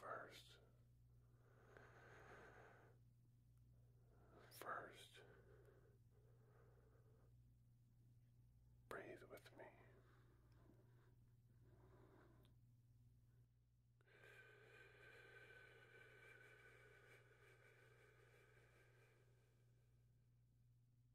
First, first, breathe with me.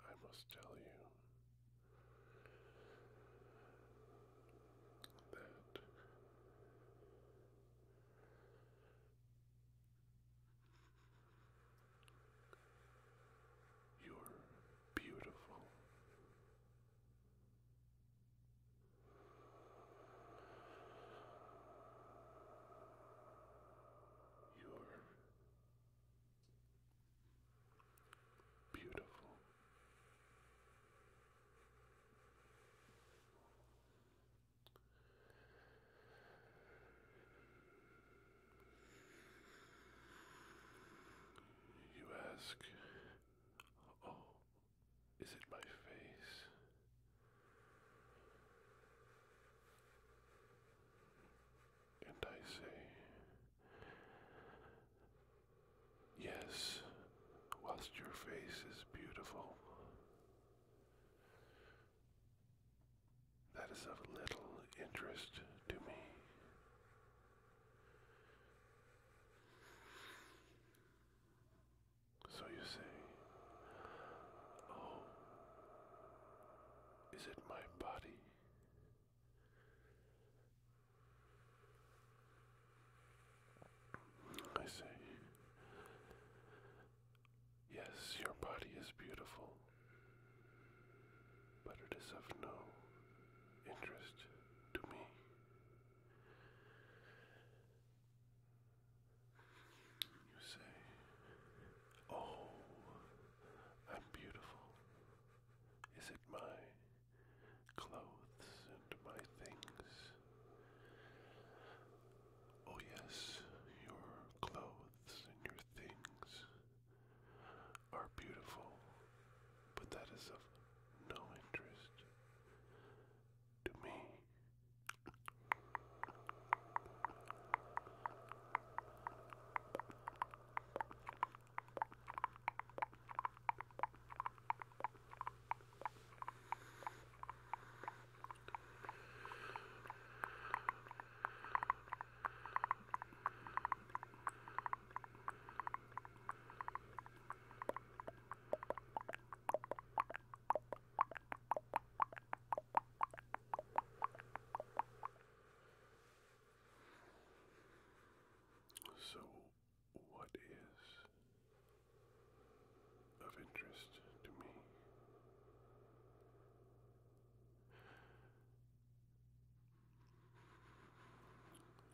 I must tell you that you're beautiful you're beautiful. You ask, Oh, is it my face? And I say, Yes, whilst your face is beautiful, that is of little interest to me. So you say, Oh, is it my body? I say, Yes, your body is beautiful but it is of no interest to me. You say, Oh, I'm beautiful. Is it my clothes and my things? Oh, yes, your clothes and your things are beautiful, but that is of no interest to me. So, what is of interest to me?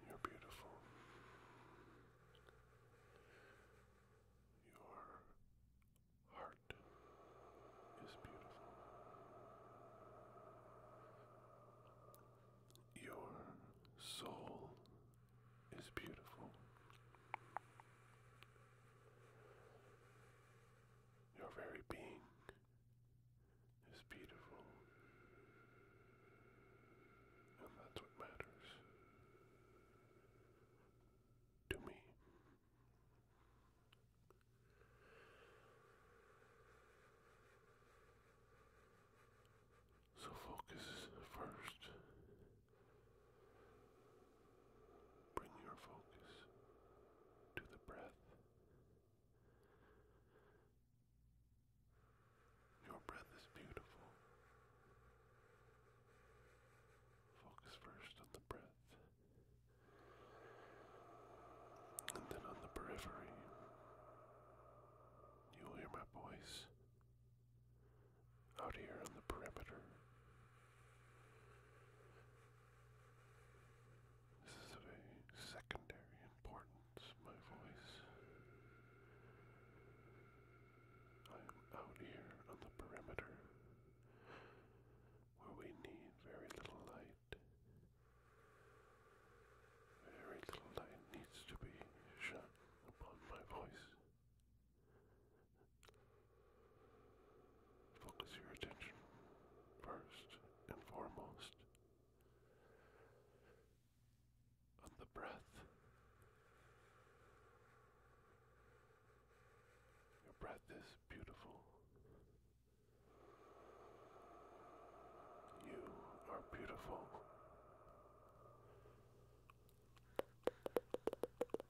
You're beautiful. Your heart is beautiful. Your soul is beautiful. Your very being is beautiful. And that's what matters to me. So focus first. Bring your focus to the breath. Your breath is beautiful. Focus first on the breath, and then on the periphery. You'll hear my voice out here on the perimeter. This is of a secondary importance, my voice. I am out here on the perimeter where we need very little light. Very little light needs to be shone upon my voice. Focus your attention first and foremost on the breath. Your breath is beautiful. You are beautiful.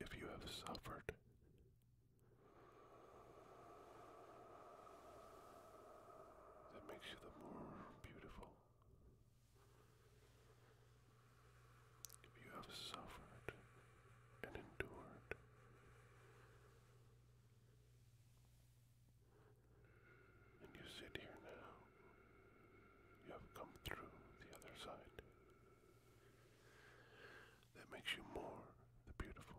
If you have suffered that makes you the more beautiful if you have suffered and endured, and you sit here now, you have come through the other side. That makes you more the beautiful.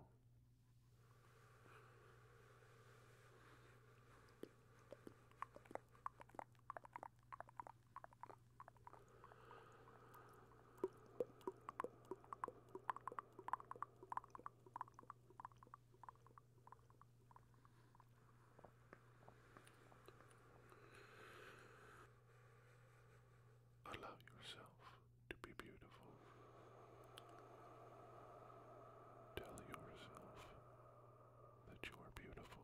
Allow yourself to be beautiful. Tell yourself that you are beautiful.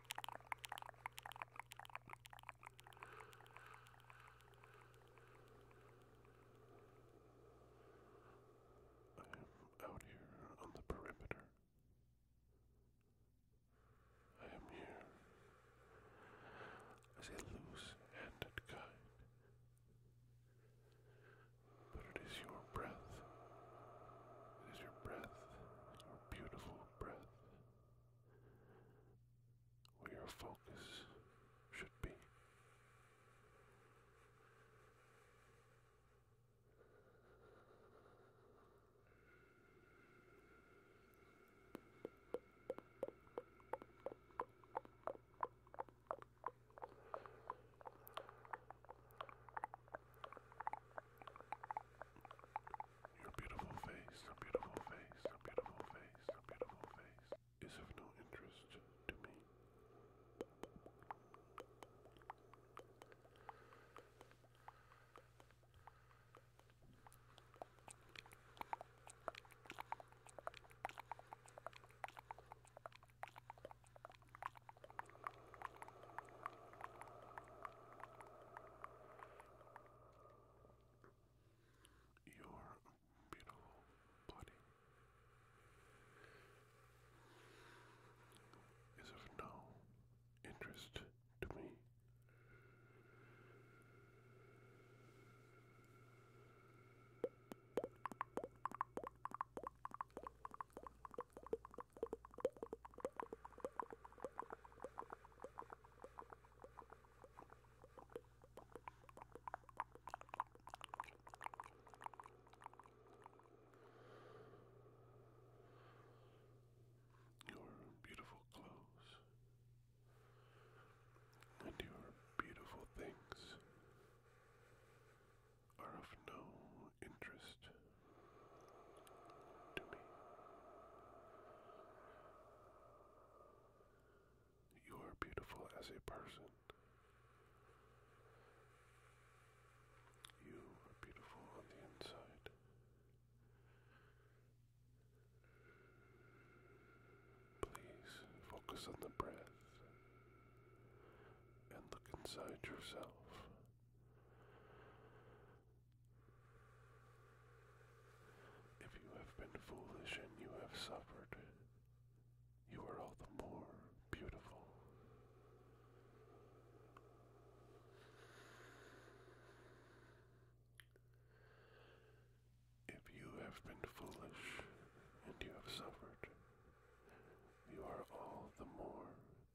I am out here on the perimeter. I am here as a loose-handed guide. But it is your breath. It is your breath, your beautiful breath, where your focus should be. Your beautiful face, your beautiful face, your beautiful face, your beautiful face is of no interest to me. Your beautiful body is of no interest to me. Your beautiful clothes and your beautiful things are of no interest to me. You are beautiful as a person. You are beautiful on the inside. Please focus on the breath and look inside yourself. If you have been foolish and you have suffered, you are all the more beautiful. If you have been foolish and you have suffered, you are all the more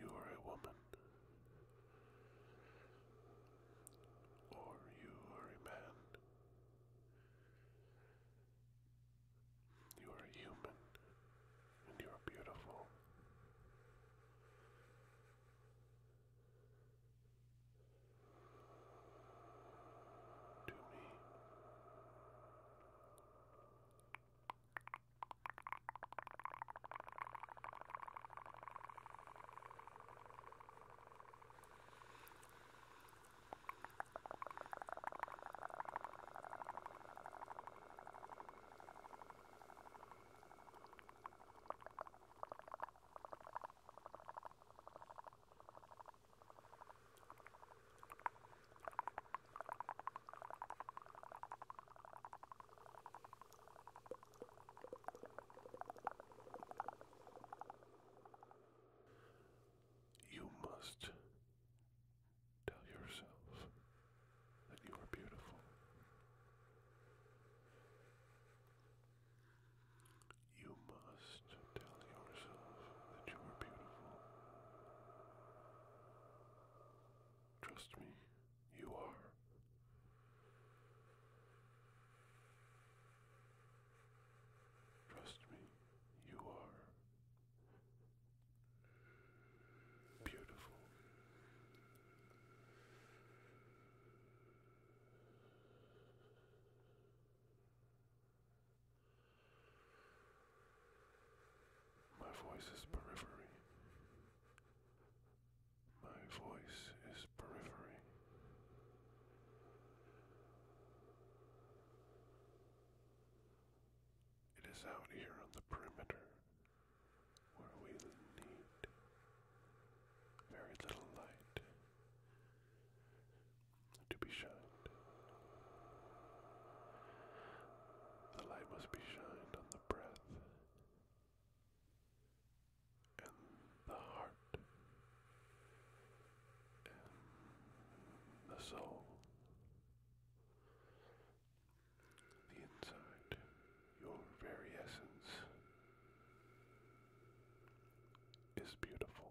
You are a woman, or you are a man. You are human, and you are beautiful to me. Thank you must tell yourself that you are beautiful. You must tell yourself that you are beautiful. Trust me, you are. Trust me, you are. Beautiful. My voice is periphery. My voice is periphery. It is out here on the perimeter where we need very little light to be shined. The light must be shined on the breath and the heart and the soul the inside, your very essence is beautiful.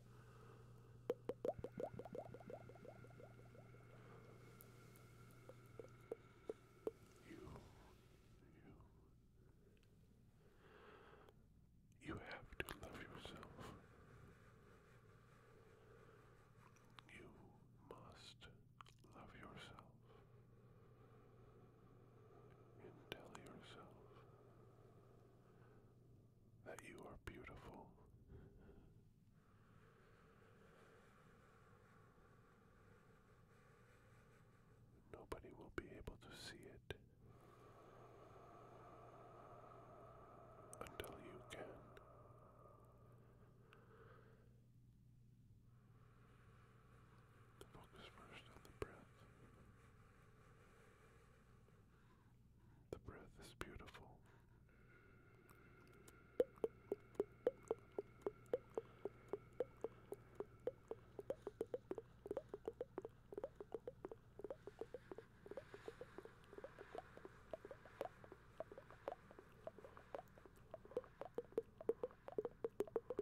You, you, you have to love yourself. You must love yourself and tell yourself that you are beautiful. Nobody will be able to see it until you can. Focus first on the breath. The breath is beautiful.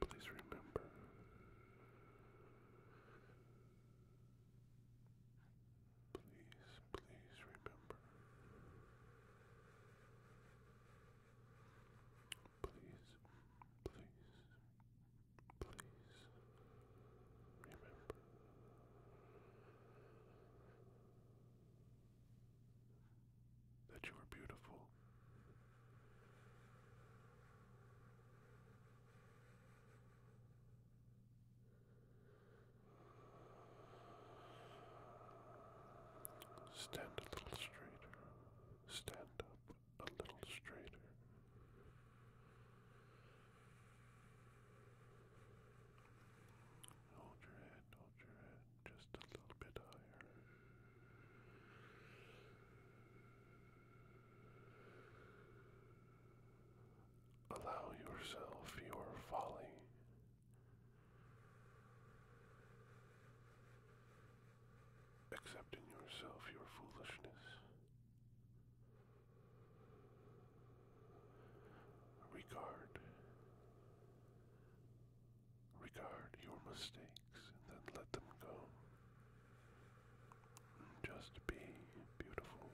Please remember Please, please remember. Please, please, Please remember that you are beautiful. Stand a little straighter. Stand up a little straighter. Hold your head, hold your head just a little bit higher. Allow yourself your folly. Accepting yourself your foolishness. Regard. Regard your mistakes and then let them go. Just be beautiful.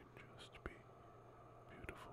You can just be beautiful.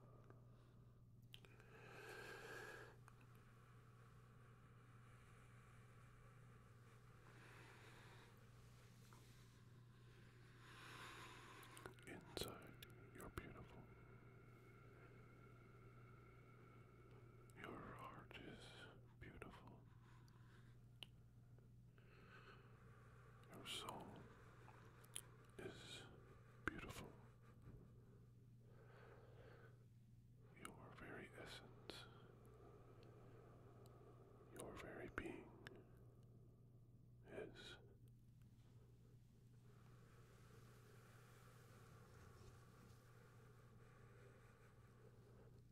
Inside, you're beautiful. Your heart is beautiful. Your soul is beautiful. Your very essence, your very being is.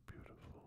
Beautiful.